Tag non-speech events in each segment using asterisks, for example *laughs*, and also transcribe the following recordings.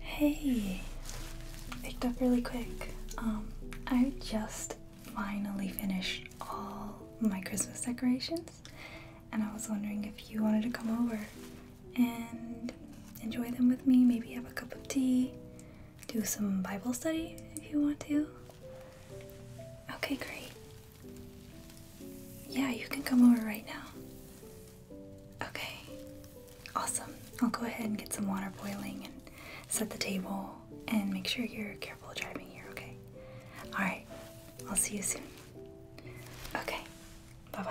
Hey, picked up really quick. Um, I just finally finished all my Christmas decorations, and I was wondering if you wanted to come over and enjoy them with me. Maybe have a cup of tea, do some Bible study if you want to. Okay, great. Yeah, you can come over right now. Okay. Awesome. I'll go ahead and get some water boiling and set the table and make sure you're careful driving here, okay? Alright. I'll see you soon. Okay. Bye bye.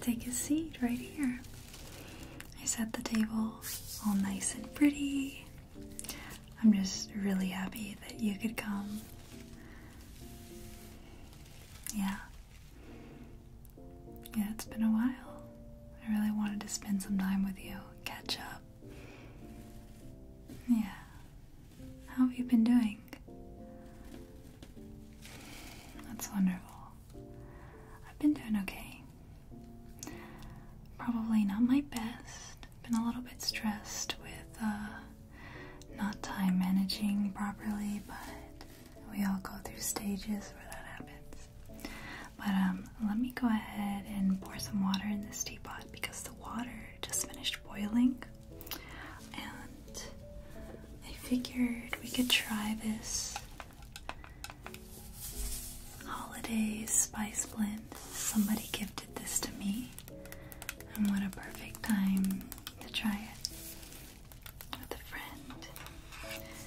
Take a seat right here. I set the table all nice and pretty. I'm just really happy that you could come. Yeah. Yeah, it's been a while. I really wanted to spend some time with you, catch up. Yeah. How have you been doing? That's wonderful. I've been doing okay. Probably not my best. Been a little bit stressed with uh, not time managing properly, but we all go through stages where that happens. But um, let me go ahead and pour some water in this teapot because the water just finished boiling. And I figured we could try this holiday spice blend. Somebody gifted this to me, and what a perfect time to try it with a friend.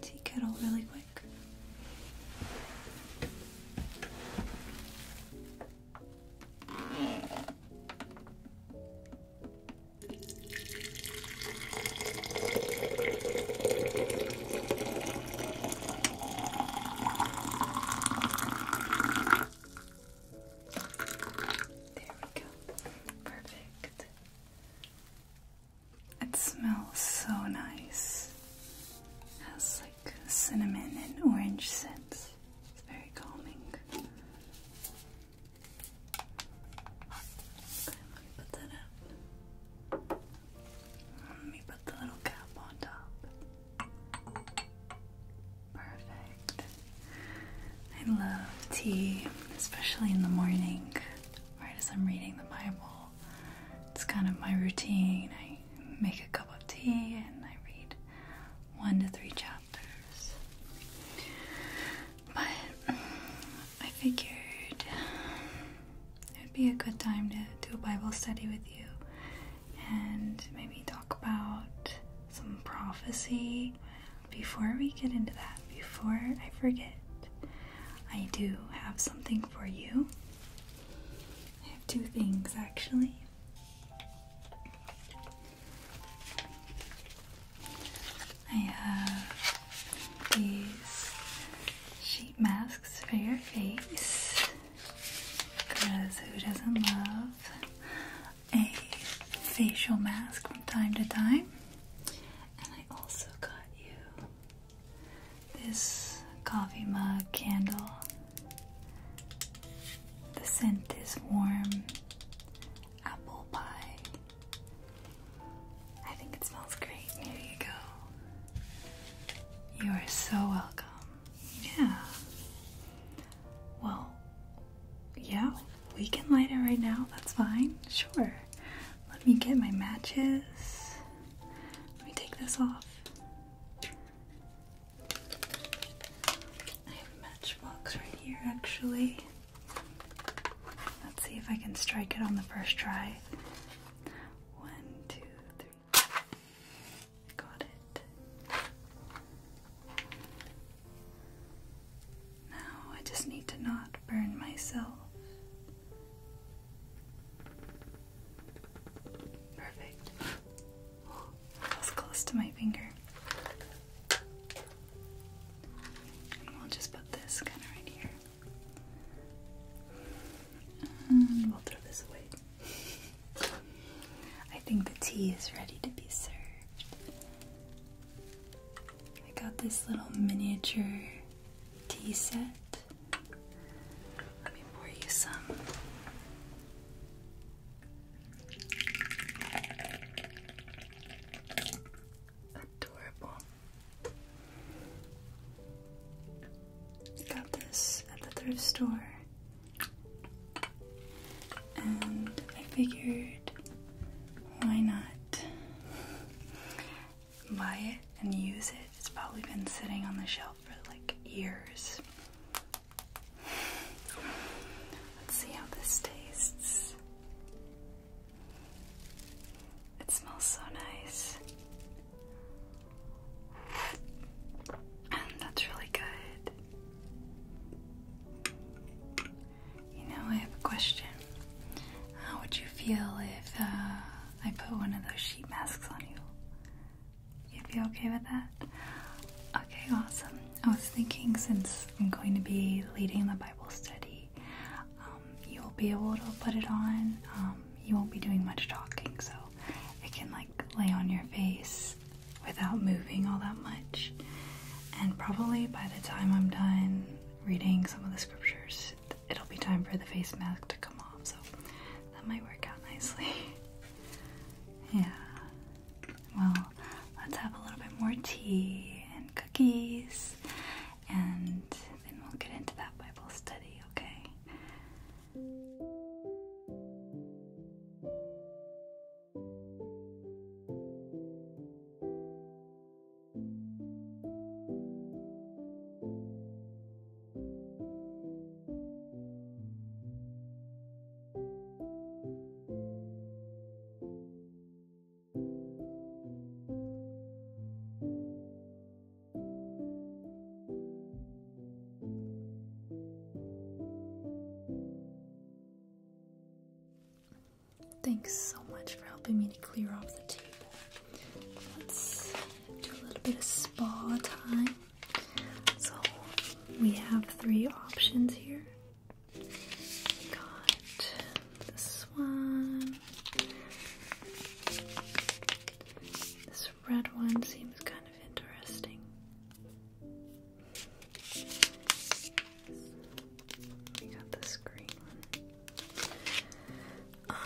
tea kettle really quick. There we go. Perfect. It smells so nice. It has like cinnamon and orange scents. It's very calming. Let me put the little cap on top. Perfect. I love tea, especially in the morning right as I'm reading the Bible. It's kind of my routine. I make a cup of tea and I read one to three chapters. But I figured it would be a good time to do a Bible study with you and maybe talk about some prophecy. Before we get into that, before I forget, I do have something for you. I have two things actually. I have these sheet masks for your face because who doesn't love a facial mask from time to time? I also got you this coffee mug candle. The scent is warm apple pie. I think it smells great. Here you go. You are so welcome. Yeah. Well, yeah, we can light it right now. That's fine. Sure. Let me get my matches. Let me take this off. I have a matchbox right here, actually. Let's see if I can strike it on the first try. One, two, three. Got it. Now I just need to not burn myself. Perfect. Oh, *gasps* close to my finger. we'll just put this kind of right here. And we'll throw this away. *laughs* I think the tea is ready to be served. I got this little miniature tea set. Let me pour you some. Adorable. Got this at the thrift store, and I figured why not buy it and use it. It's probably been sitting on the shelf for like years. Let's see how this tastes. It smells so nice. that's really good. You know, I have a question. How would you feel if uh, I put one of those sheet masks on you? You'd be okay with that? Okay, awesome. I was thinking since I'm going to be leading the Bible study, um, you'll be able to put it on. Um, you won't be doing much talking, so it can like lay on your face without moving all that much. And probably by the time I'm done reading some of the scriptures, it'll be time for the face mask to come off, so that might work out nicely. *laughs* yeah. Well, let's have a little bit more tea and cookies, and then we'll get into that Bible study, okay? Thanks so much for helping me to clear off the table let's do a little bit of spa time. So we have three options here. We got this one. This red one seems kind of interesting. We got this green um,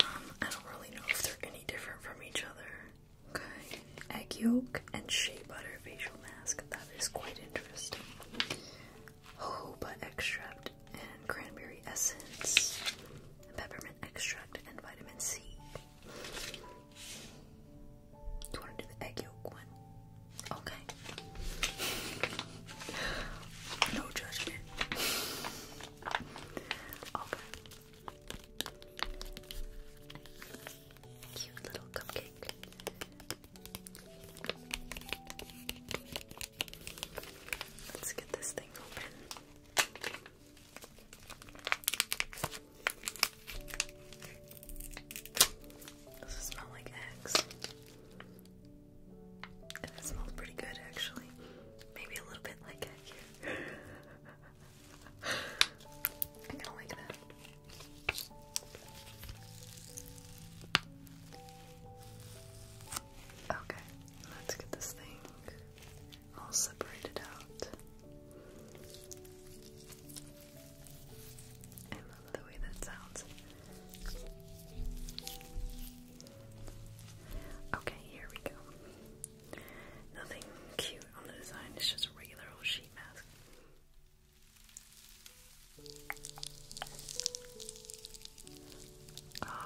I don't really know if they're any different from each other. Okay, egg yolk and shea butter facial mask. That is quite interesting. Jojoba extract and cranberry essence, peppermint extract and vitamin C. Do you want to do the egg yolk one? Okay. No judgment. Cute little cupcake. Let's get this thing open. Does it smell like eggs? And it smells pretty good actually. Maybe a little bit like it here. *laughs* I kinda like that. Okay, let's get this thing all separated out. I love the way that sounds. Okay, here we go. Nothing cute on the design, it's just a regular old sheet mask.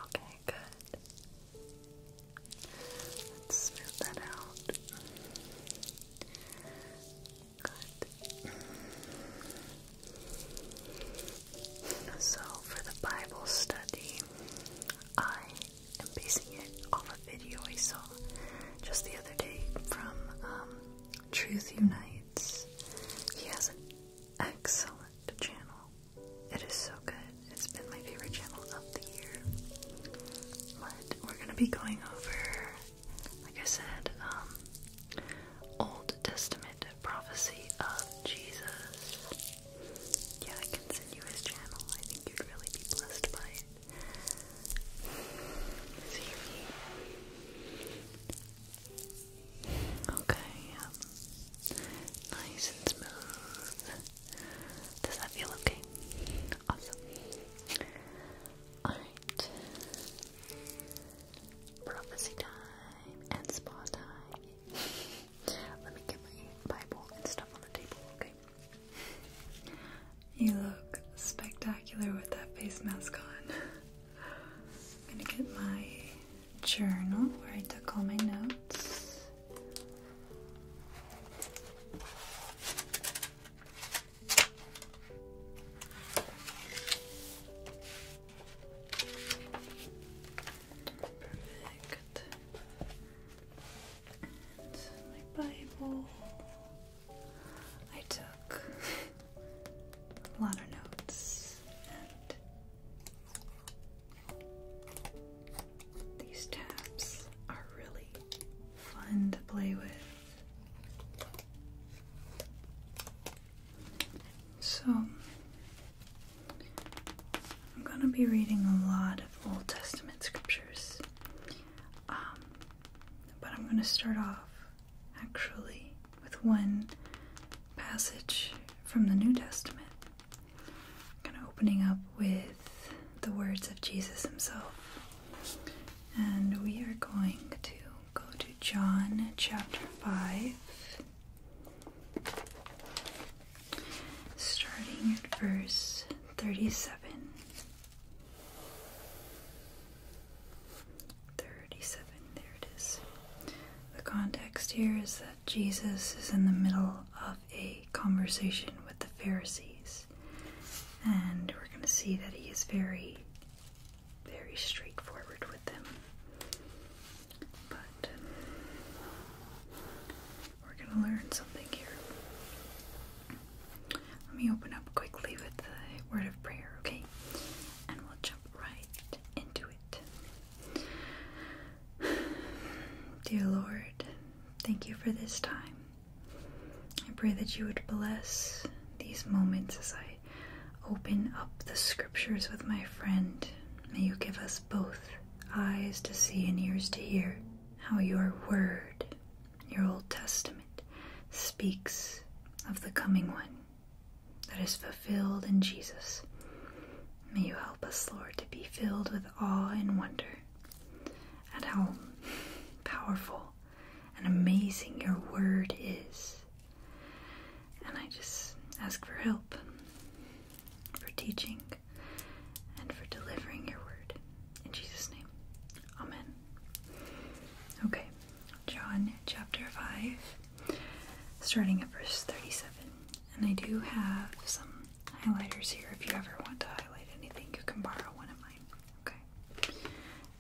Okay, good. smooth that out. Good. So, for the Bible study, I am basing it off a video I saw just the other day from um, Truth Unites. He has an excellent channel. It is so good. It's been my favorite channel of the year. But we're going to be going over, like I said, um, Old Testament prophecy of Jesus. Yeah, I can send you his channel. I think you'd really be blessed by it. Is Okay, um, nice and smooth. Does that feel okay? Awesome. Alright. Prophecy time and spa time. Let me get my Bible and stuff on the table, okay? You look spectacular with that face mask on. I'm gonna get my journal where I took all my notes. Perfect. my Bible. I took a lot of notes and these tabs are really fun to play with. So, I'm going to be reading a lot of Old Testament scriptures. Um, but I'm going to start off actually with one passage from the New Testament. Kind of opening up with the words of Jesus himself. And we are going to go to John chapter 5 starting at verse 37. 37, there it is. The context here is that Jesus is in the middle of a conversation with the Pharisees, and we're going to see that he is very, very straightforward with them. But um, we're gonna learn something here. Let me open up quickly with the word of prayer, okay? And we'll jump right into it. *sighs* Dear Lord, thank you for this time. I pray that you would bless these moments as I open up the scriptures with my friend. May you give us both eyes to see and ears to hear how your word, your Old Testament, speaks of the coming one that is fulfilled in Jesus. May you help us, Lord, to be filled with awe and wonder at how powerful and amazing your word is. And I just ask for help for teaching, and for delivering your word. In Jesus' name. Amen. Okay, John chapter 5, starting at verse 37. And I do have some highlighters here. If you ever want to highlight anything, you can borrow one of mine. Okay.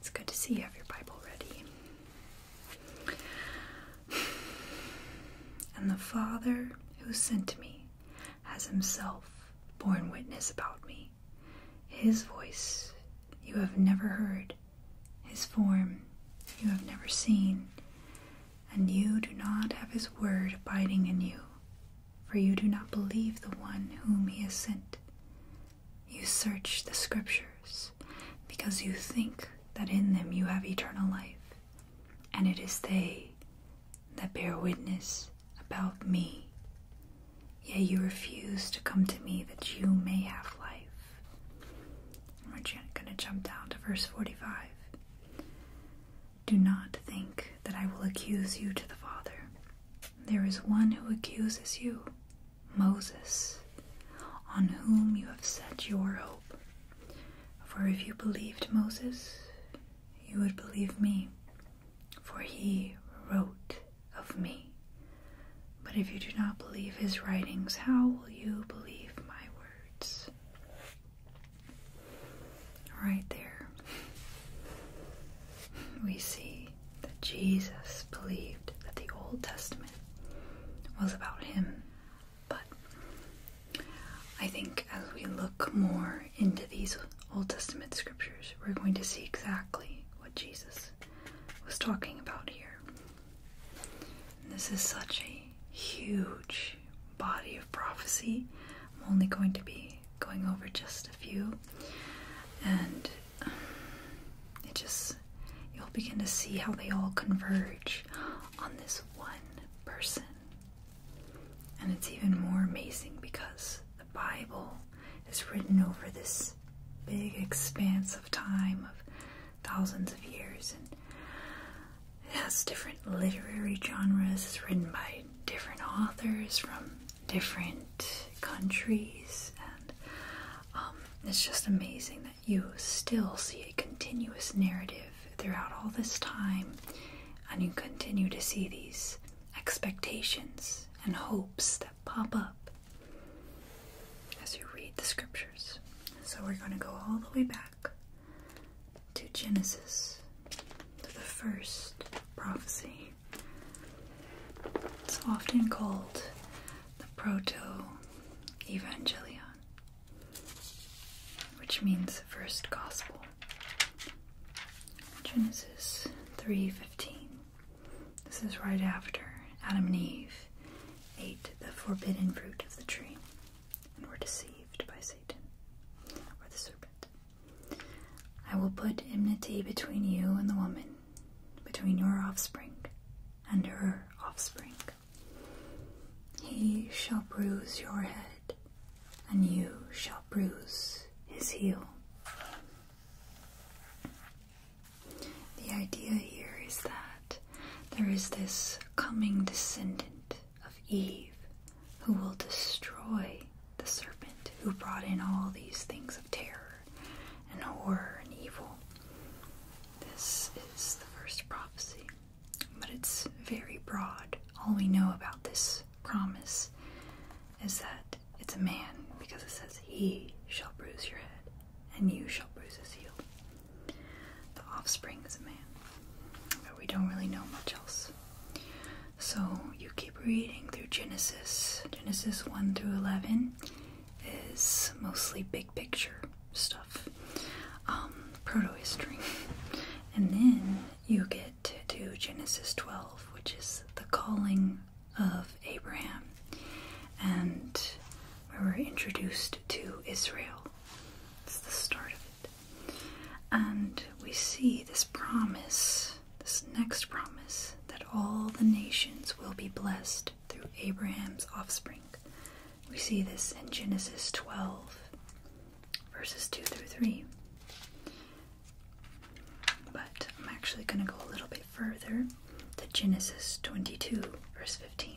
It's good to see you have your Bible ready. *sighs* And the Father who sent me has himself borne witness about me. His voice you have never heard, his form you have never seen, and you do not have his word abiding in you, for you do not believe the one whom he has sent. You search the scriptures, because you think that in them you have eternal life, and it is they that bear witness about me, yet you refuse to come to me that you may have life. And we're going to jump down to verse 45. Do not think that I will accuse you to the Father. There is one who accuses you, Moses, on whom you have set your hope. For if you believed Moses, you would believe me, for he wrote of me. But if you do not believe his writings, how will you believe my words? Right there, we see that Jesus believed that the Old Testament was about him but I think as we look more into these Old Testament scriptures, we're going to see exactly what Jesus was talking about here. this is such a huge body of prophecy. I'm only going to be going over just a few. And um, it just, you'll begin to see how they all converge on this one person and it's even more amazing because the Bible is written over this big expanse of time of thousands of years and it has different literary genres. It's written by different authors from different countries and um, it's just amazing that you still see a continuous narrative throughout all this time, and you continue to see these expectations and hopes that pop up as you read the scriptures. So, we're going to go all the way back to Genesis, to the first prophecy. It's often called the Proto Evangelion, which means first gospel. Genesis 3:15. This is right after Adam and Eve ate the forbidden fruit of the tree and were deceived by Satan or the serpent. I will put enmity between you and the woman, between your offspring and her offspring. He shall bruise your head, and you shall bruise his heel. The idea here is that there is this coming descendant of Eve who will destroy the serpent who brought in all these things of terror and horror and evil. This is the first prophecy but it's very broad. All we know about this promise is that it's a man because it says, He shall bruise your head, and you shall bruise his heel. The offspring is a man, but we don't really know much else. So you keep reading through Genesis. Genesis 1 through 11 is mostly big picture stuff, um, proto history. And then you get to Genesis 12, which is the calling of Abraham, and where we're introduced to Israel. It's the start of it. And we see this promise, this next promise, that all the nations will be blessed through Abraham's offspring. We see this in Genesis 12 verses 2 through 3. But I'm actually going to go a little bit further to Genesis 22, verse 15,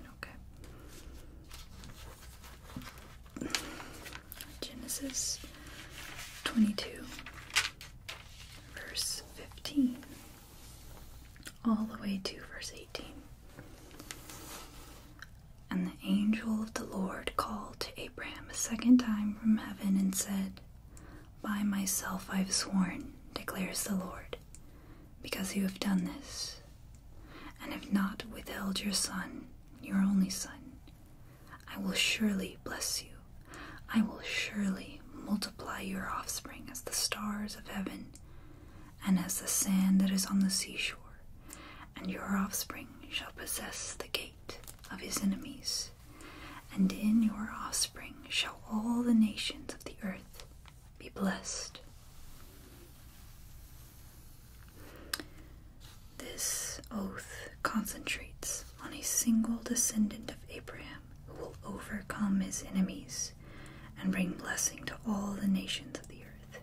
okay? Genesis 22, verse 15, all the way to verse 18. And the angel of the Lord called to Abraham a second time from heaven and said, By myself I have sworn, declares the Lord, because you have done this, and have not withheld your son, your only son. I will surely bless you. I will surely multiply your offspring as the stars of heaven and as the sand that is on the seashore, and your offspring shall possess the gate of his enemies, and in your offspring shall all the nations of the earth be blessed. This oath concentrates on a single descendant of Abraham who will overcome his enemies and bring blessing to all the nations of the earth.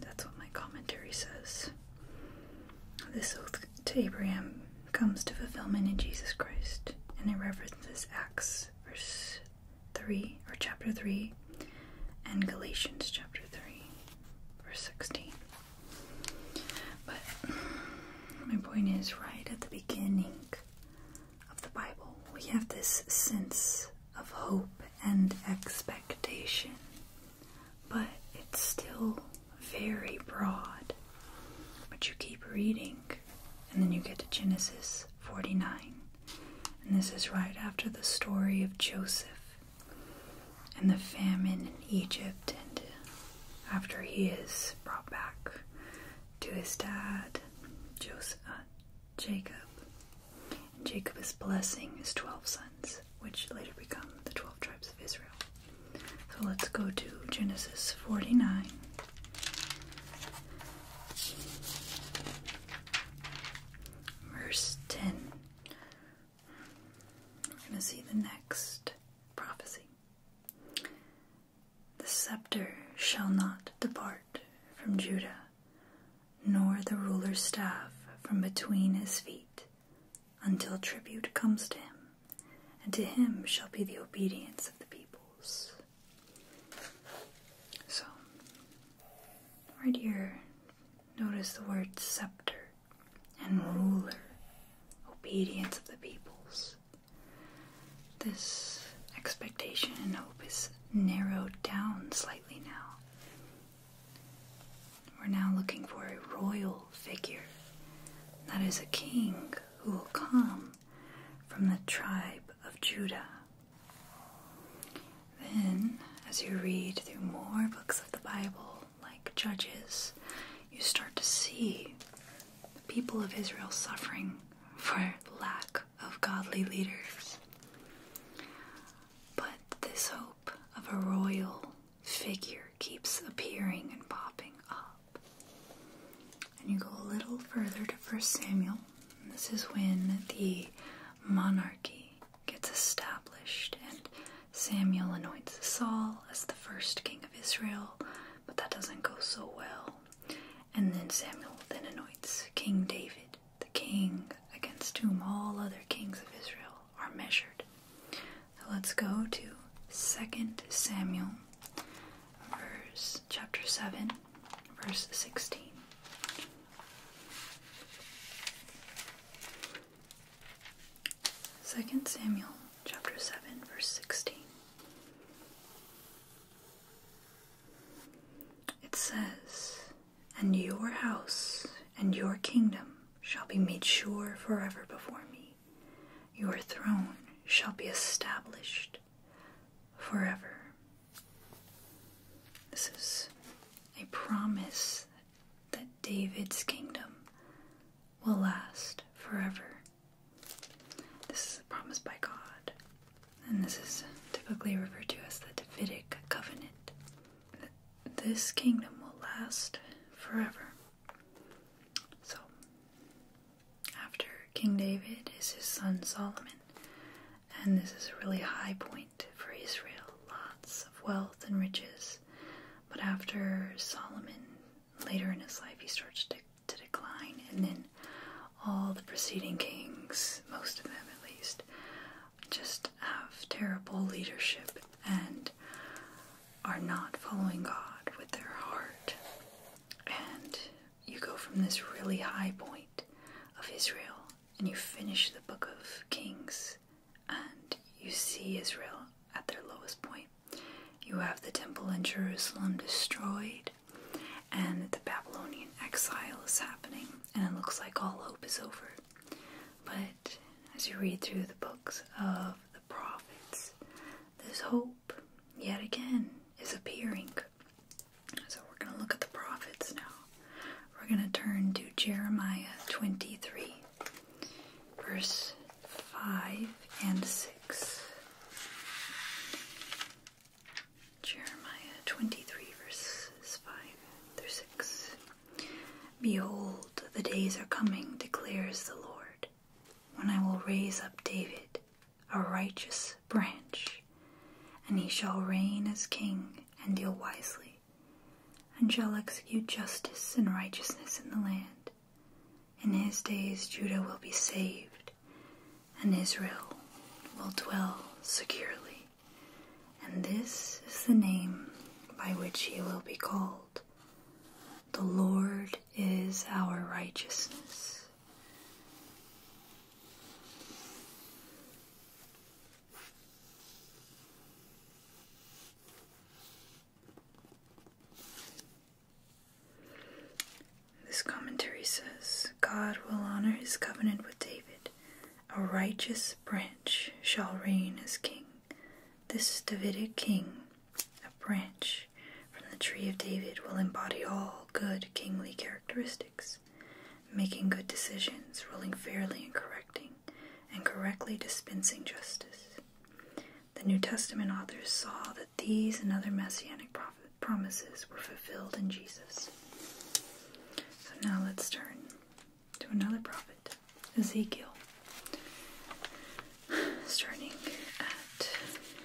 That's what my commentary says. This oath to Abraham comes to fulfillment in Jesus Christ, and it references Acts verse 3 or chapter 3 and Galatians chapter 3 verse 16. But my point is right at the beginning of the Bible, we have this sense of hope and expectation but it's still very broad. But you keep reading, and then you get to Genesis 49. And this is right after the story of Joseph and the famine in Egypt, and after he is brought back to his dad, uh, Jacob. And Jacob is blessing his 12 sons, which later become the 12 tribes of Israel. So let's go to Genesis 49. Verse 10. We're going to see the next prophecy. The scepter shall not depart from Judah, nor the ruler's staff from between his feet, until tribute comes to him, and to him shall be the obedience of the peoples. So, right here, notice the word scepter and ruler, obedience of the peoples. This expectation and hope is narrowed down slightly now we're now looking for a royal figure. That is a king who will come from the tribe of Judah. Then, as you read through more books of the Bible, like Judges, you start to see the people of Israel suffering for lack of godly leaders. But this hope of a royal figure keeps appearing and popping up. And you go a little further to First Samuel. This is when the monarchy gets established, and Samuel anoints Saul as the first king of Israel, but that doesn't go so well. And then Samuel then anoints King David, the king against whom all other kings of Israel are measured. Let's go to Second Samuel verse chapter 7 verse 16. Second Samuel chapter 7 verse 16. It says, And your house and your kingdom shall be made sure forever before me. Your throne shall be established forever. This is a promise that David's kingdom will last forever. This is a promise by God, and this is typically referred to as the Davidic covenant this kingdom will last forever. So, after King David is his son Solomon, and this is a really high point for Israel lots of wealth and riches. But after Solomon, later in his life, he starts to, to decline, and then all the preceding kings, most of them at least, just have terrible leadership and are not following God with their heart. And you go from this really high point of Israel and you finish the book of Kings and you see Israel at their lowest point. You have the temple in Jerusalem destroyed and the Babylonian exile is happening and it looks like all hope is over. But as you read through the books of the prophets, this hope yet again is appearing. So we're going to look at the prophets now. We're going to turn to Jeremiah 23, verse 5 and 6. Jeremiah 23, verses 5 through 6. Behold, the days are coming, declares the Lord, when I will raise up David, a righteous branch, and he shall reign as king and deal wisely, and shall execute justice and righteousness in the land. In his days Judah will be saved, and Israel will dwell securely. And this is the name by which he will be called the Lord is our righteousness. This commentary says God will honor his covenant with David. A righteous branch shall reign as king. This Davidic king, a branch from the tree of David, will embody all good kingly characteristics, making good decisions, ruling fairly and correcting, and correctly dispensing justice. The New Testament authors saw that these and other messianic promises were fulfilled in Jesus. So now let's turn to another prophet, Ezekiel, starting at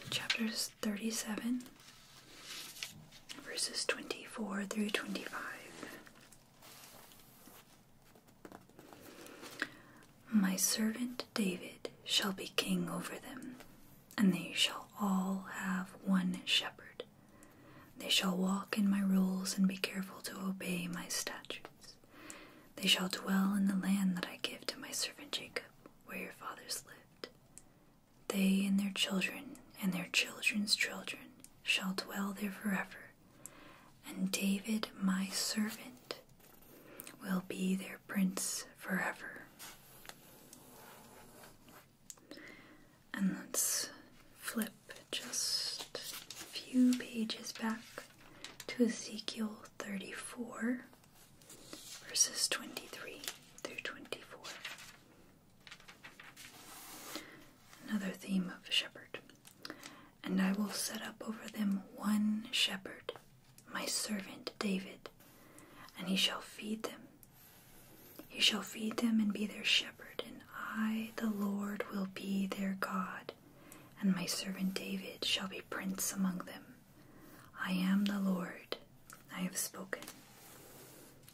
chapters 37, verses 24 through 25. My servant David shall be king over them, and they shall all have one shepherd. They shall walk in my rules and be careful to obey my statutes. They shall dwell in the land that I give to my servant Jacob, where your fathers lived. They and their children and their children's children shall dwell there forever, and David, my servant, will be their prince forever. And let's flip just a few pages back to Ezekiel 34, verses 23 through 24. Another theme of a shepherd. And I will set up over them one shepherd, my servant David, and he shall feed them. He shall feed them and be their shepherd, and I, the Lord, will be their God, and my servant David shall be prince among them. I am the Lord, I have spoken.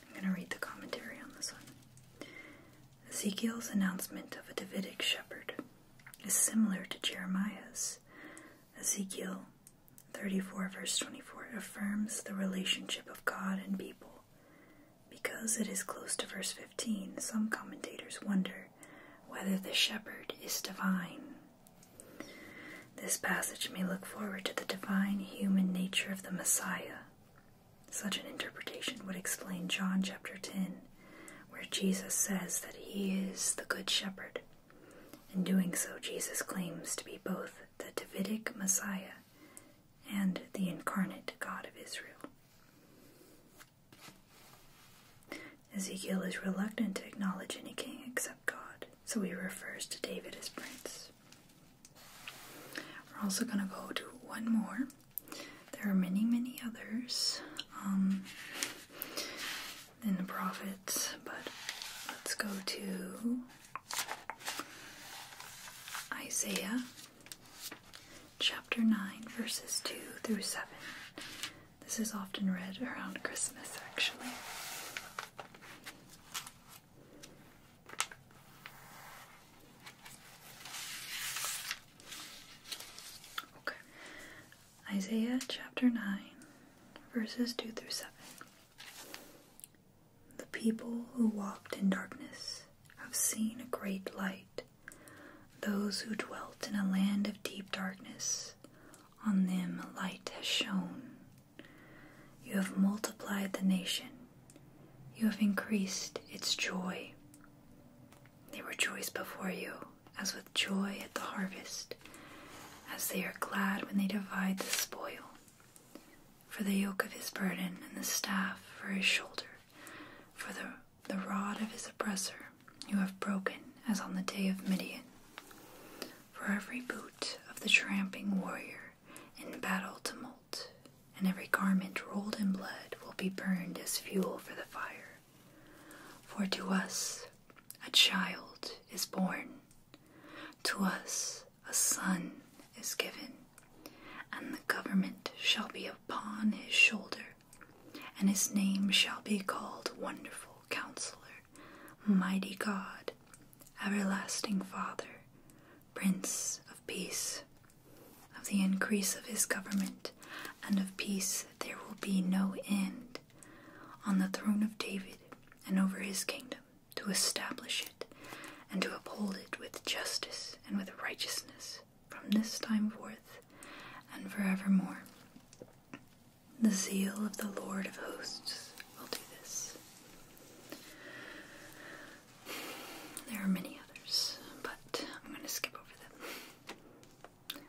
I'm going to read the commentary on this one. Ezekiel's announcement of a Davidic shepherd is similar to Jeremiah's. Ezekiel 34, verse 24, affirms the relationship of God and people. Because it is close to verse 15, some commentators wonder whether the shepherd is divine. This passage may look forward to the divine human nature of the Messiah. Such an interpretation would explain John chapter 10, where Jesus says that he is the good shepherd. In doing so, Jesus claims to be both the Davidic Messiah and the incarnate God of Israel. Ezekiel is reluctant to acknowledge any king except God, so he refers to David as prince. We're also going to go to one more. There are many, many others in um, the prophets, but let's go to Isaiah chapter 9, verses 2 through 7. This is often read around Christmas, actually. Okay. Isaiah chapter 9, verses 2 through 7. The people who walked in darkness have seen a great light those who dwelt in a land of deep darkness, on them light has shone. You have multiplied the nation, you have increased its joy. They rejoice before you as with joy at the harvest, as they are glad when they divide the spoil. For the yoke of his burden and the staff for his shoulder, for the the rod of his oppressor, you have broken as on the day of Midian. For every boot of the tramping warrior in battle tumult, and every garment rolled in blood will be burned as fuel for the fire. For to us a child is born, to us a son is given, and the government shall be upon his shoulder and his name shall be called Wonderful Counselor, Mighty God, Everlasting Father, Prince of Peace. Of the increase of his government and of peace there will be no end on the throne of David and over his kingdom to establish it and to uphold it with justice and with righteousness from this time forth and forevermore. The zeal of the Lord of hosts will do this. There are many others, but I'm going to skip over them.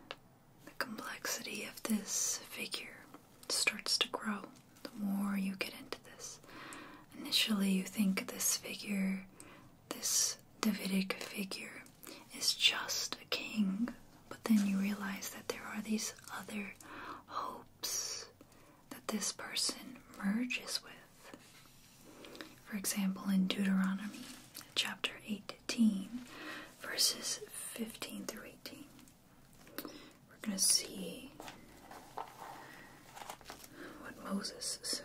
The complexity of this figure starts to grow the more you get into this. Initially, you think this figure, this Davidic figure, is just a king, but then you realize that there are these other hopes that this person merges with. For example, in Deuteronomy chapter 18, verses 15 through 18, we're going to see what Moses said.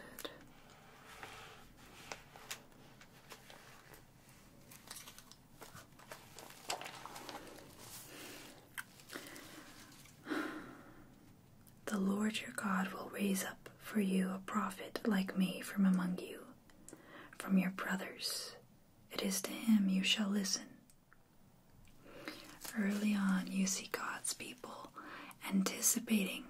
The Lord your God will raise up for you a prophet like me from among you, from your brothers. It is to him you shall listen. Early on, you see God's people anticipating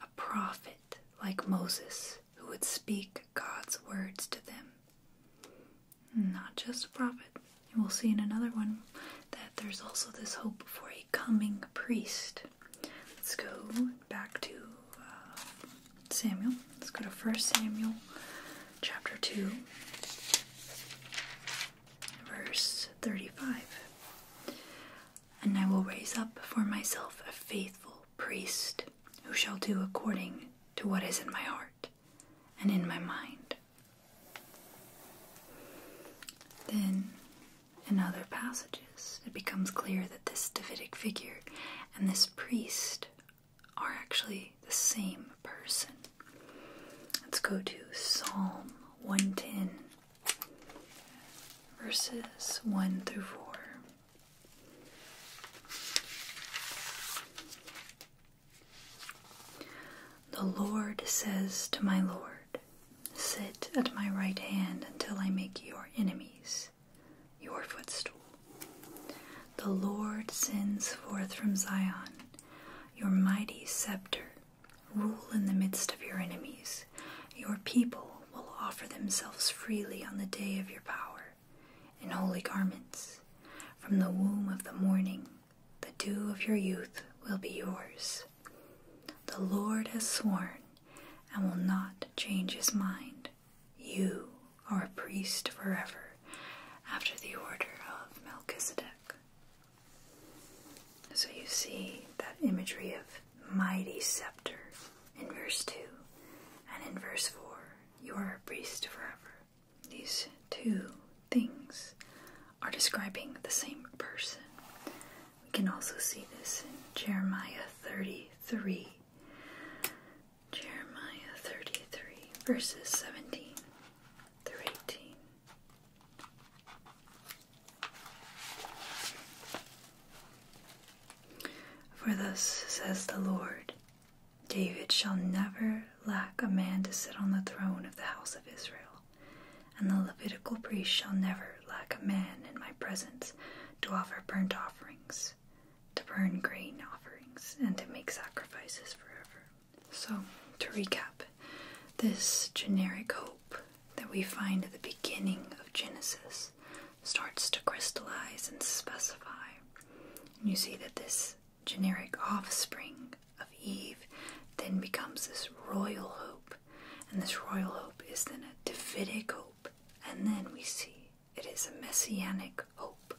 a prophet like Moses who would speak God's words to them. Not just a prophet. we'll see in another one that there's also this hope for a coming priest. Let's go back to uh, Samuel. Let's go to First Samuel chapter 2, verse 35. And I will raise up for myself a faithful priest who shall do according to what is in my heart and in my mind. Then, in other passages, it becomes clear that this Davidic figure and this priest are actually the same person. Let's go to Psalm 110, verses 1 through 4. The Lord says to my Lord, Sit at my right hand until I make your enemies your footstool. The Lord sends forth from Zion your mighty scepter. Rule in the midst of your enemies. Your people will offer themselves freely on the day of your power in holy garments. From the womb of the morning, the dew of your youth will be yours. The Lord has sworn and will not change his mind. You are a priest forever after the order of Melchizedek. So you see that imagery of mighty scepter in verse 2 and in verse 4, you are a priest forever. These two things are describing the same person. We can also see this in Jeremiah 33. Jeremiah 33, verses 17 through 18. For thus says the Lord David shall never lack a man to sit on the throne of the house of Israel, and the Levitical priest shall never lack a man in my presence to offer burnt offerings, to burn grain offerings, and to make sacrifices forever. So, to recap, this generic hope that we find at the beginning of Genesis starts to crystallize and specify. And you see that this generic offspring of Eve then becomes this royal hope, and this royal hope is then a Davidic hope, and then we see it is a messianic hope.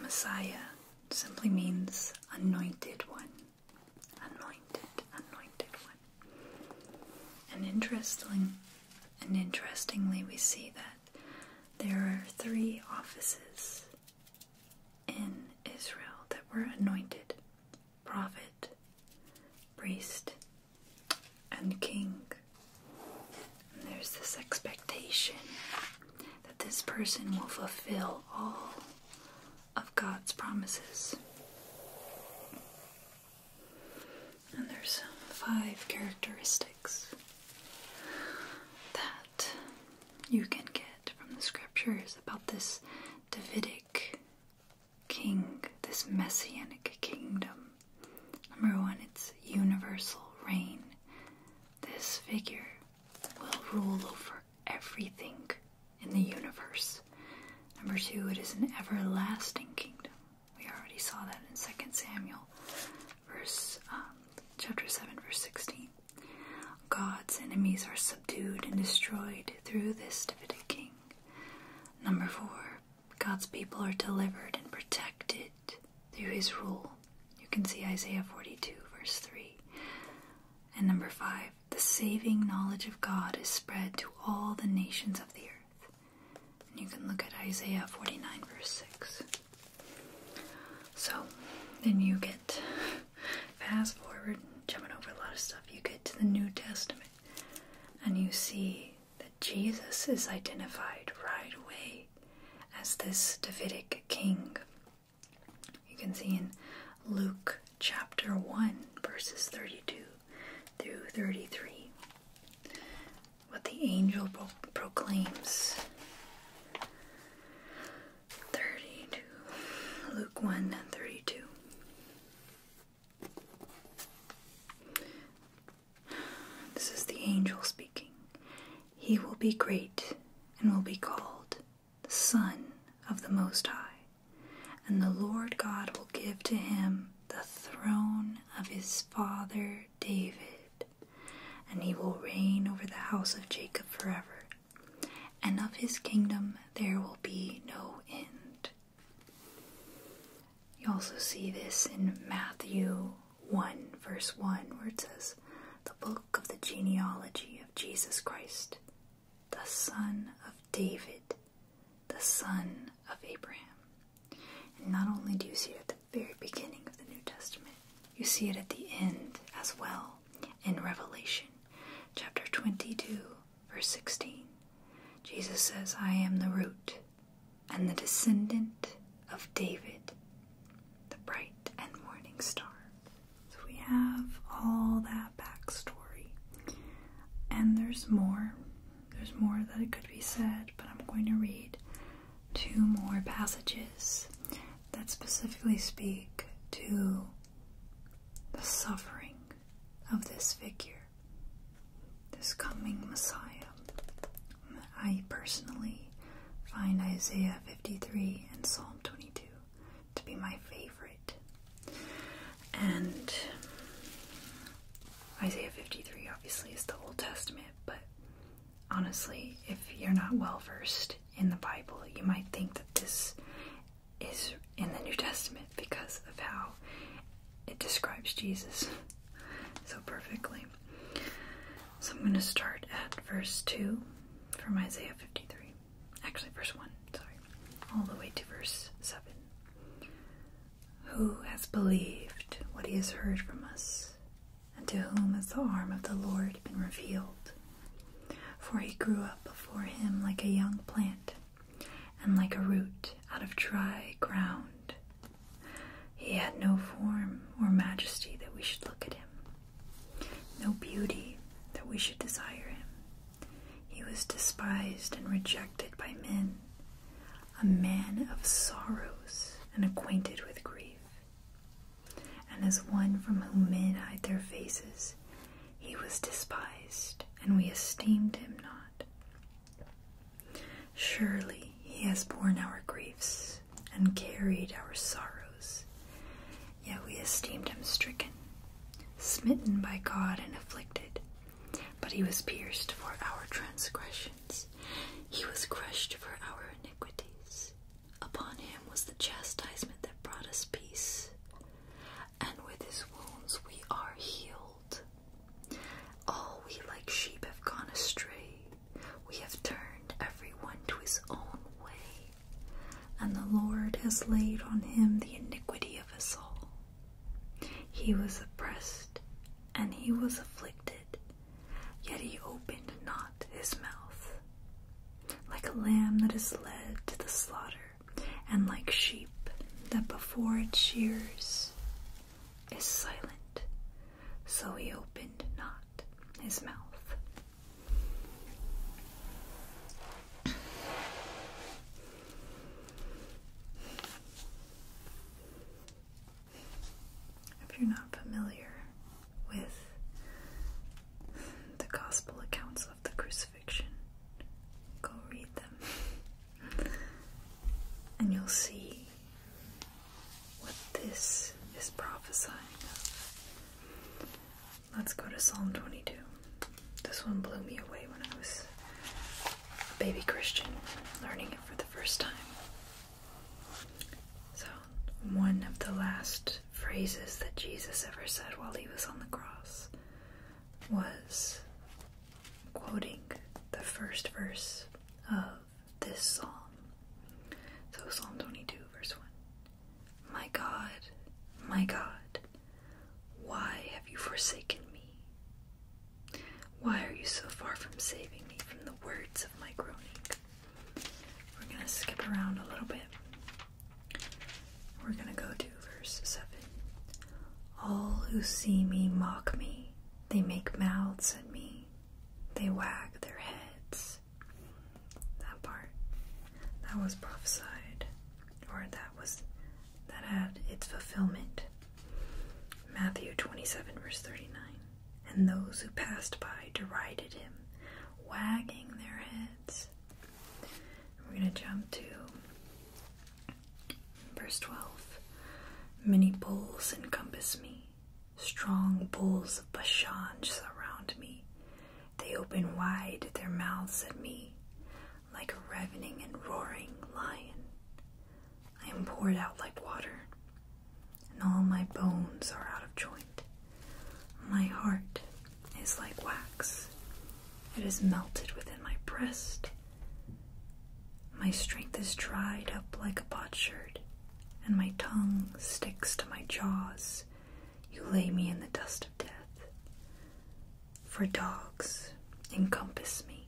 Messiah simply means anointed one. Anointed, anointed one. And interestingly, and interestingly we see that there are three offices in Israel that were anointed prophet, priest, and king. And there's this expectation that this person will fulfill all of God's promises. And there's five characteristics that you can get from the scriptures about this Davidic king, this messianic kingdom. Number one, it's universal reign. This figure will rule over everything in the universe. Number two, it is an everlasting kingdom. We already saw that in 2 Samuel, verse um, chapter 7, verse 16. God's enemies are subdued and destroyed through this Davidic king. Number four, God's people are delivered and protected through his rule. You can see Isaiah 42, verse 3. And number five, the saving knowledge of God is spread to all the nations of the earth. And you can look at Isaiah 49, verse 6. So then you get, *laughs* fast forward, jumping over a lot of stuff, you get to the New Testament and you see that Jesus is identified right away as this Davidic king. You can see in Luke chapter 1, verses 32 through 33 what the angel proclaims. 32. Luke 1 32. This is the angel speaking. He will be great and will be called the Son of the Most High, and the Lord God will give to him the throne of his father David, and he will reign over the house of Jacob forever, and of his kingdom there will be no end. You also see this in Matthew 1, verse 1, where it says, The book of the genealogy of Jesus Christ, the son of David, the son of Abraham. And not only do you see it very beginning of the New Testament. You see it at the end as well in Revelation chapter 22, verse 16. Jesus says, I am the root and the descendant of David, the bright and morning star. So we have all that backstory. And there's more. There's more that could be said, but I'm going to read two more passages that specifically speak to the suffering of this figure, this coming Messiah. I personally find Isaiah 53 and Psalm 22 to be my favorite. And Isaiah 53 obviously is the Old Testament, but honestly, if you're not well versed in the Bible, you might think that this is in the New Testament because of how it describes Jesus so perfectly. So I'm going to start at verse 2 from Isaiah 53. Actually, verse 1, sorry. All the way to verse 7. Who has believed what he has heard from us? and to whom has the arm of the Lord been revealed. For he grew up before him like a young plant, and like a root out of dry ground. He had no form or majesty that we should look at him, no beauty that we should desire him. He was despised and rejected by men, a man of sorrows and acquainted with grief. And as one from whom men hide their faces, he was despised, and we esteemed him not. Surely he has borne our griefs and carried our sorrows, yet we esteemed him stricken, smitten by God, and afflicted. But he was pierced for our transgression. He was crushed for our iniquities. Upon him was the chastisement that brought us peace, and with his wounds we are healed. All we like sheep have gone astray, we have turned every one to his own way, and the Lord has laid on him the iniquity of us all. He was oppressed and he was afflicted, Yet he opened not his mouth. Like a lamb that is led to the slaughter, and like sheep that before its shears is silent, so he opened not his mouth. If you're not familiar with the gospel accounts of the crucifixion, go read them. And you'll see what this is prophesying Let's go to Psalm 22. This one blew me away when I was a baby Christian, learning it for the first time. So, one of the last phrases that Jesus ever said while he was on the cross was quoting the first verse of this psalm. So, Psalm 22, verse 1 My God, my God, why have you forsaken me? Why are you so far from saving me from the words of my groaning? We're going to skip around a little bit. We're going to go to verse 7. All who see me mock me. They make mouths at me. They wag their heads. That part. That was prophesied. Or that was that had its fulfillment. Matthew 27 verse 39 and those who passed by derided him, wagging their heads. We're going to jump to verse 12. Many bulls encompass me, strong bulls of Bashan surround me. They open wide their mouths at me, like a ravening and roaring lion. I am poured out like water and all my bones are out of joint. My heart is like wax, it is melted within my breast. My strength is dried up like a potsherd, and my tongue sticks to my jaws. You lay me in the dust of death. For dogs encompass me,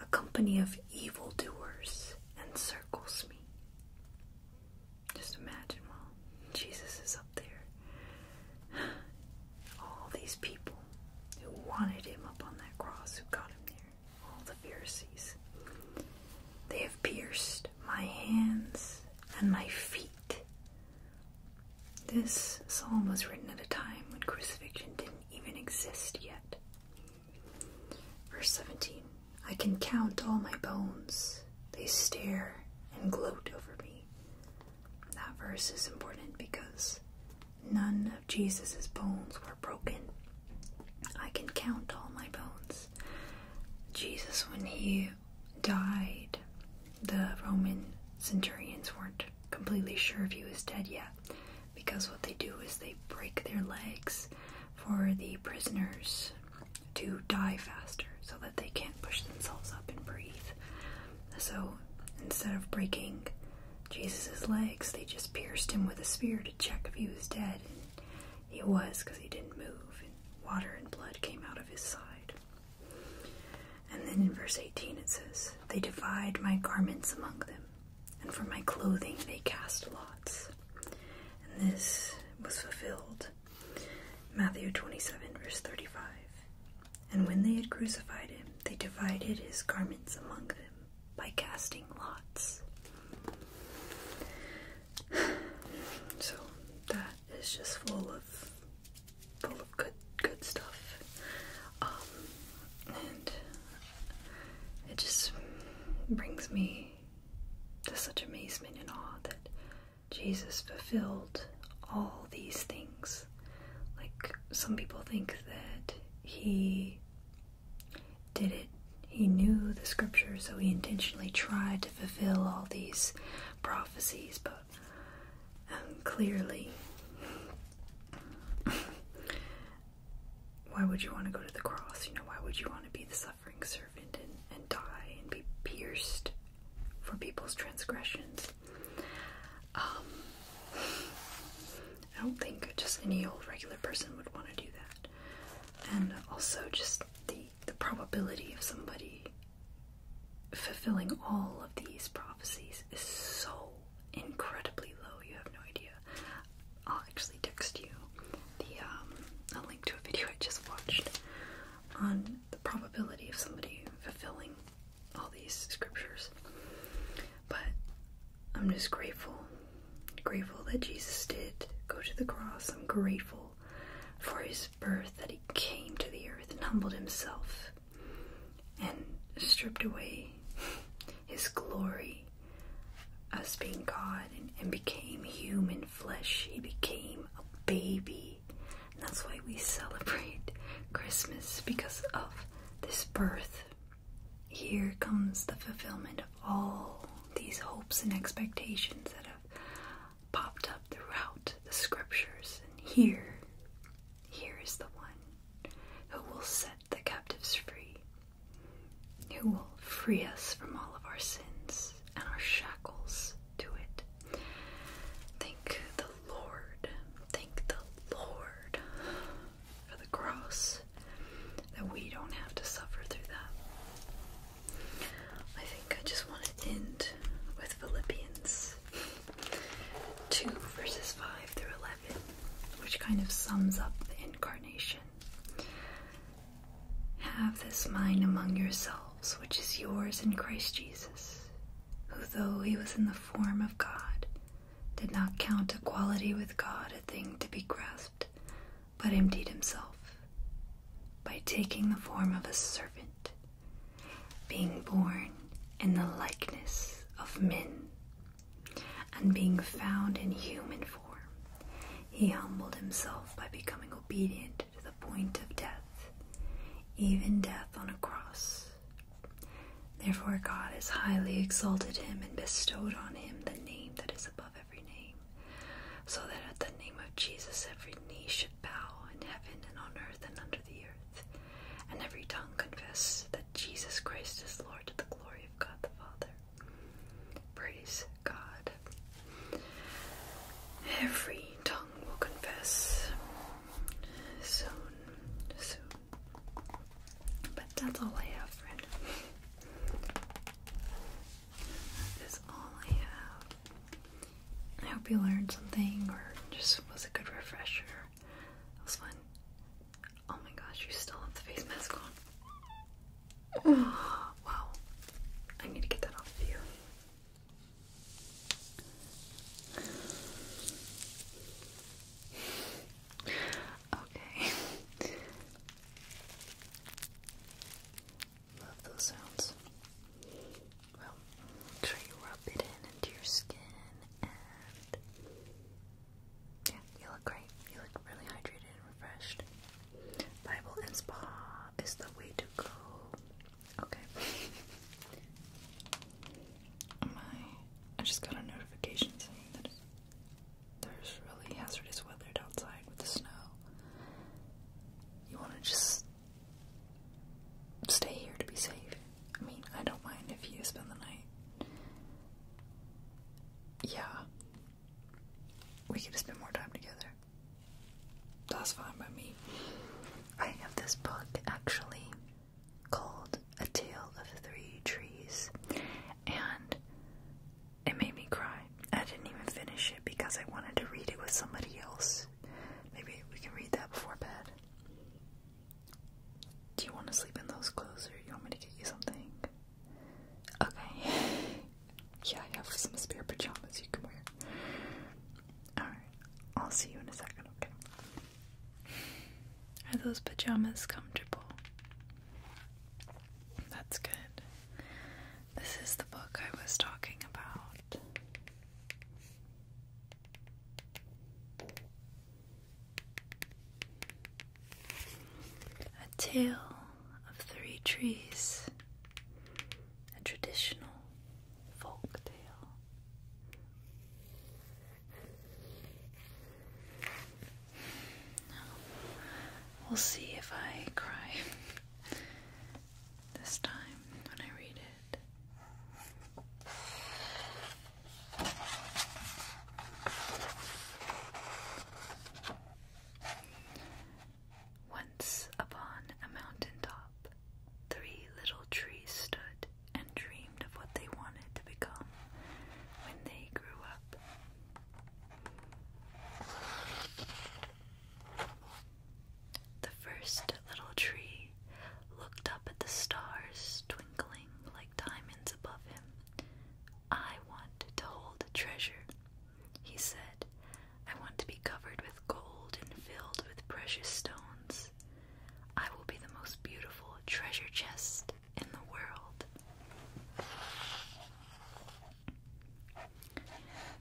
a company of evildoers encircles me. Just imagine while Jesus is up there. *gasps* All these people who wanted him up on that cross, who got him there, all the Pharisees. They have pierced my hands and my feet. This psalm was written at a time when crucifixion didn't even exist yet. Verse 17 I can count all my bones, they stare and gloat over me. That verse is important because none of Jesus' bones were broken. I can count all my bones. Jesus, when he died, the Roman centurions weren't completely sure if he was dead yet because what they do is they break their legs for the prisoners to die faster so that they can't push themselves up and breathe. So instead of breaking Jesus's legs, they just pierced him with a spear to check if he was dead. And he was because he didn't move, and water and blood came out of his side. And then in verse 18 it says, They divide my garments among them, and for my clothing they cast lots. And this was fulfilled. Matthew 27, verse 35. And when they had crucified him, they divided his garments among them by casting lots. *sighs* So that is just full of full of good good stuff. Um, and it just brings me to such amazement and awe that Jesus fulfilled all these things. Like some people think that he did it, he knew the scriptures, so he intentionally tried to fulfill all these prophecies, but um, clearly, why would you want to go to the cross? You know, why would you want to be the suffering servant and, die and be pierced for people's transgressions. Um, I don't think just any old regular person would want to do that. And also just the, the probability of somebody fulfilling all of these prophecies is so incredibly low, you have no idea. I'll actually text you the um, a link to a video I just watched on the probability of somebody fulfilling all these scriptures. But I'm just grateful, grateful that Jesus did go to the cross. I'm grateful for his birth, that he came to the earth and humbled himself and stripped away his glory us being God and, became human flesh. He became a baby. And that's why we celebrate Christmas because of this birth. Here comes the fulfillment of all these hopes and expectations that have popped up throughout the scriptures. And here, here is the one who will set the captives free, who will free us from all of our sins and our shackles to it. Thank the Lord, thank the Lord for the cross that we don't have to suffer through that. I think I just want to end with Philippians 2 verses 5 through 11, which kind of sums up the incarnation. Have this mind among yourselves, which is yours in Christ Jesus, who, though he was in the form of God, did not count equality with God a thing to be grasped, but emptied himself by taking the form of a servant, being born in the likeness of men, and being found in human form. He humbled himself by becoming obedient to the point of death, even death on a cross. Therefore, God has highly exalted him and bestowed on him the name that is above every name, so that at the name of Jesus every knee should bow in heaven and on earth and under the earth, and every tongue confess that Jesus Christ is Lord to the glory of God the Father. Praise God. Every tongue will confess soon, soon. But that's all I have, friend. That is all I have. I hope you learned something or just was a good refresher. It was fun. Oh my gosh, you still have the face mask on. *sighs* wow, I need to get that off you. Okay. *laughs* Love those sounds. Well, try to rub it in into your skin and yeah, you look great. You look really hydrated and refreshed. Bible and spa is the way to go. Okay. *laughs* My, I just got a notification saying that there's really hazardous weather outside with the snow. You want to just stay here to be safe. I mean, I don't mind if you spend the night. Yeah, we could spend more time together. That's fine by me. I have this book actually called A Tale of Three Trees, and it made me cry. I didn't even finish it because I wanted to read it with somebody else. Maybe we can read that before bed. Do you want to sleep in those clothes or do you want me to get you something? Okay. *laughs* Yeah, I have some spare pajamas you can wear. Alright, I'll see you in a second, okay? Are those pajamas comfortable? That's good. This is the book I was talking about. A Tale of three trees, a traditional folk tale. We'll see if I cry this time when I read it. Once upon a mountain top, three little trees stood and dreamed of what they wanted to become when they grew up. The first little tree looked up at the stars twinkling like diamonds above him. I want to hold a treasure, he said, I want to be covered with gold and filled with precious stones. I will be the most beautiful treasure chest in the world.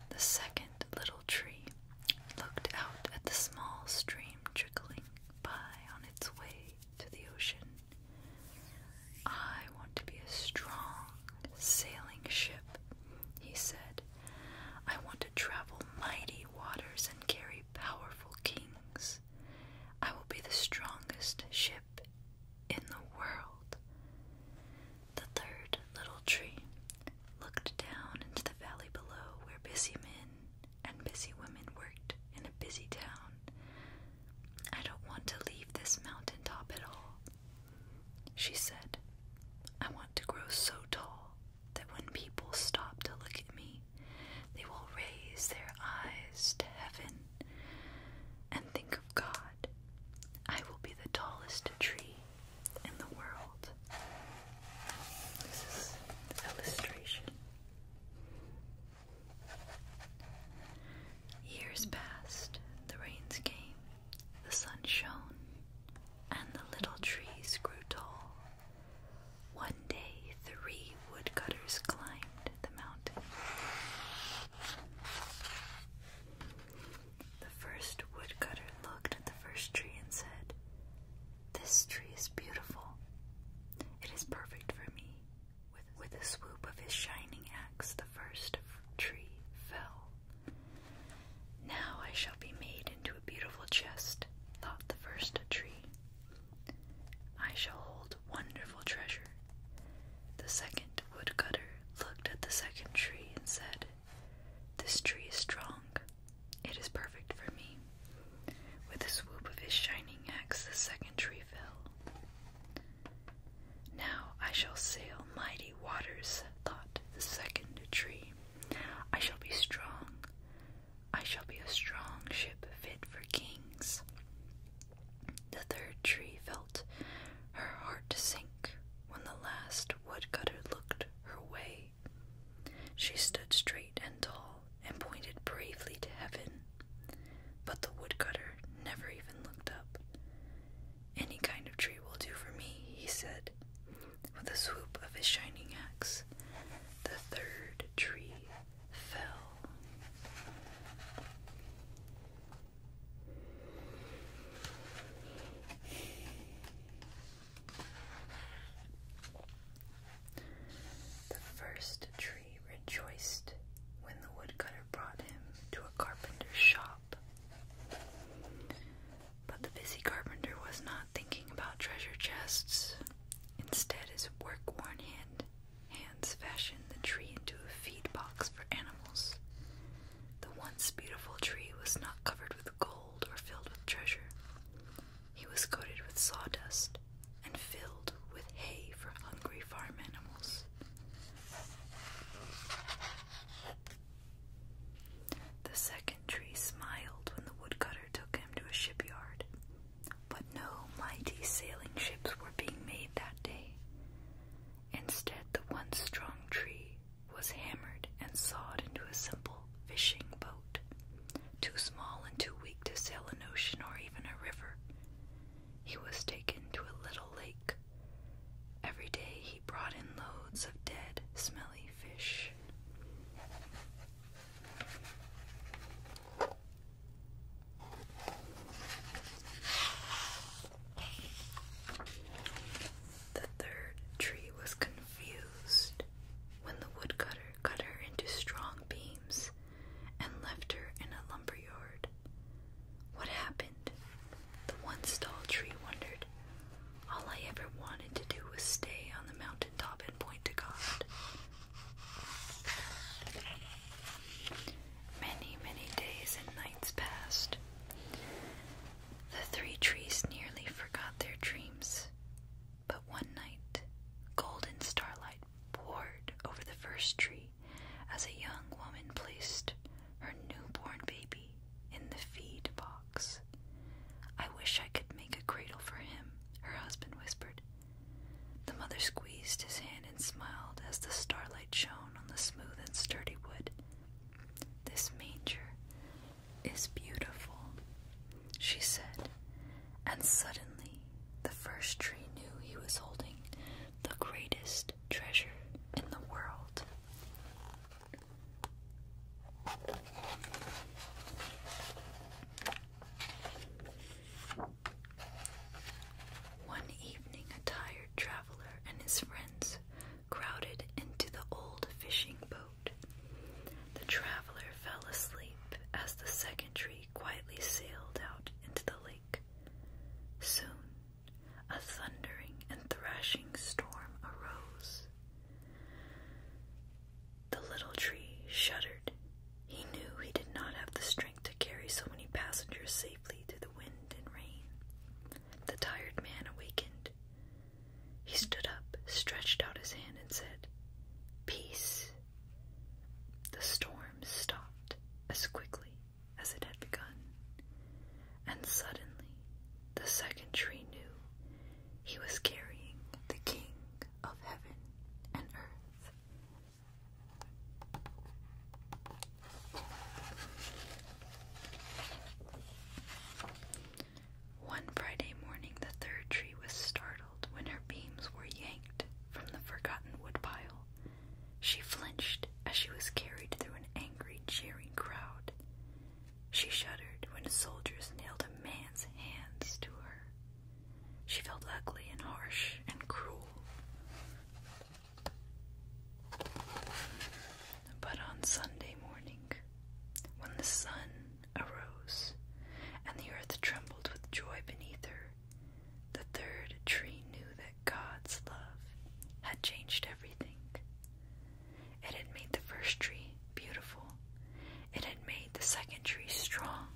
The second little tree looked out at the small stream trickling by on its way to the ocean. I want to be a strong sailing ship, he said. I want to travel mighty waters and carry powerful kings. I will be the strongest ship in the world. The third little tree looked down into the valley below where busy men and busy women worked in a busy town. I don't want to leave this mountain top at all, she said, I want to grow so tall that when people stop to look at me, they will raise their eyes to heaven and think of God. I will be the tallest tree in the world. This is illustration. Years passed, the rains came, the sun shone, and the little trees grew tall. One day, three woodcutters climbed the mountain. The first woodcutter looked at the first tree and said, This tree is beautiful. It is perfect for me. With, a swoop of his shining axe, the first tree fell now I shall be made into a beautiful chest, thought the first tree. I shall hold wonderful treasure. The second woodcutter looked at the second tree and said, This tree is strong. It is perfect for me. With a swoop of his shining axe, the second tree fell. Now I shall sail mighty waters, thought the second tree. I shall be strong. I shall be a strong ship fit for kings. The third tree felt her heart sink when the last woodcutter looked her way. She stood straight and tall and pointed bravely to heaven, but the woodcutter never even looked up. Any kind of tree will do for me, he said, with a swoop of his shining axe. The third tree fell. The first tree rejoiced when the woodcutter brought him to a carpenter's shop. But the busy carpenter was not thinking about treasure chests. Instead, his work-worn hand hands fashioned the tree into a feed box for animals. The once beautiful tree was not covered with gold or filled with treasure. He was coated with sawdust and filled with hay for hungry farm animals. The second tree smiled when the woodcutter took him to a shipyard, but no mighty sailing ships were being made that day. Instead, the once strong tree was hammered and sawed into a simple fishing boat, too small and too weak to sail an ocean or even a river. He was taken to a little lake Every day he brought in loads of dead, smelly fish. The third tree was confused when the woodcutter cut her into strong beams and left her in a lumberyard. What happened? The one tall tree wondered. All I ever wanted to do was stay on the mountain top and point to God. Many, many days and nights passed. The three trees nearly forgot their dreams. But one night, golden starlight poured over the first tree as a young woman placed her newborn baby in the feed box. I wish I could make a cradle for him, her husband whispered. The mother squeezed his hand and smiled as the starlight shone on the smooth and sturdy wood. This manger is beautiful, she said, and suddenly the first tree knew he was holding the greatest treasure in the world. One evening, a tired traveler and his friends crowded into the old fishing boat. The traveler fell asleep as the second tree quietly sailed out into the lake. Soon, a thundering and thrashing storm arose. The little tree shuddered. He knew he did not have the strength to carry so many passengers safely through the wind and rain. The tired man awakened. He stood up, stretched out his hand, and said, Peace. The storm stopped as quickly as it had begun and suddenly the second tree knew he was carrying the King of heaven and earth. One Friday morning, the third tree was startled when her beams were yanked from the forgotten woodpile. She flinched as she was carried through an angry, cheering crowd. She shuddered when the soldiers nailed a man's hands to her. She felt ugly and harsh and cruel. But on Sunday morning, when the sun arose and the earth trembled with joy beneath her, the third tree knew that God's love had changed everything. It had made the first tree beautiful. It had made the second tree strong.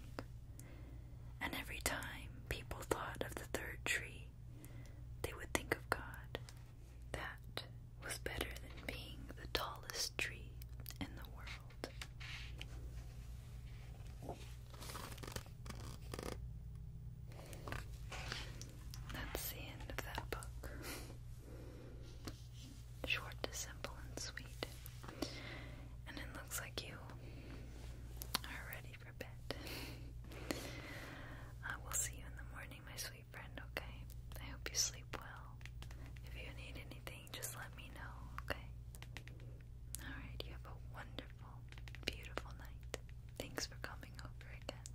And every time people thought of the third tree, they would think of God. That was better than being the tallest tree in the world. That's the end of that book. *laughs* Short to simple and sweet. And it looks like you are ready for bed. I will see you in the morning, my sweet friend, okay? I hope you sleep well. If you need anything, just let me know, okay? Alright, you have a wonderful, beautiful night. Thanks for coming over again.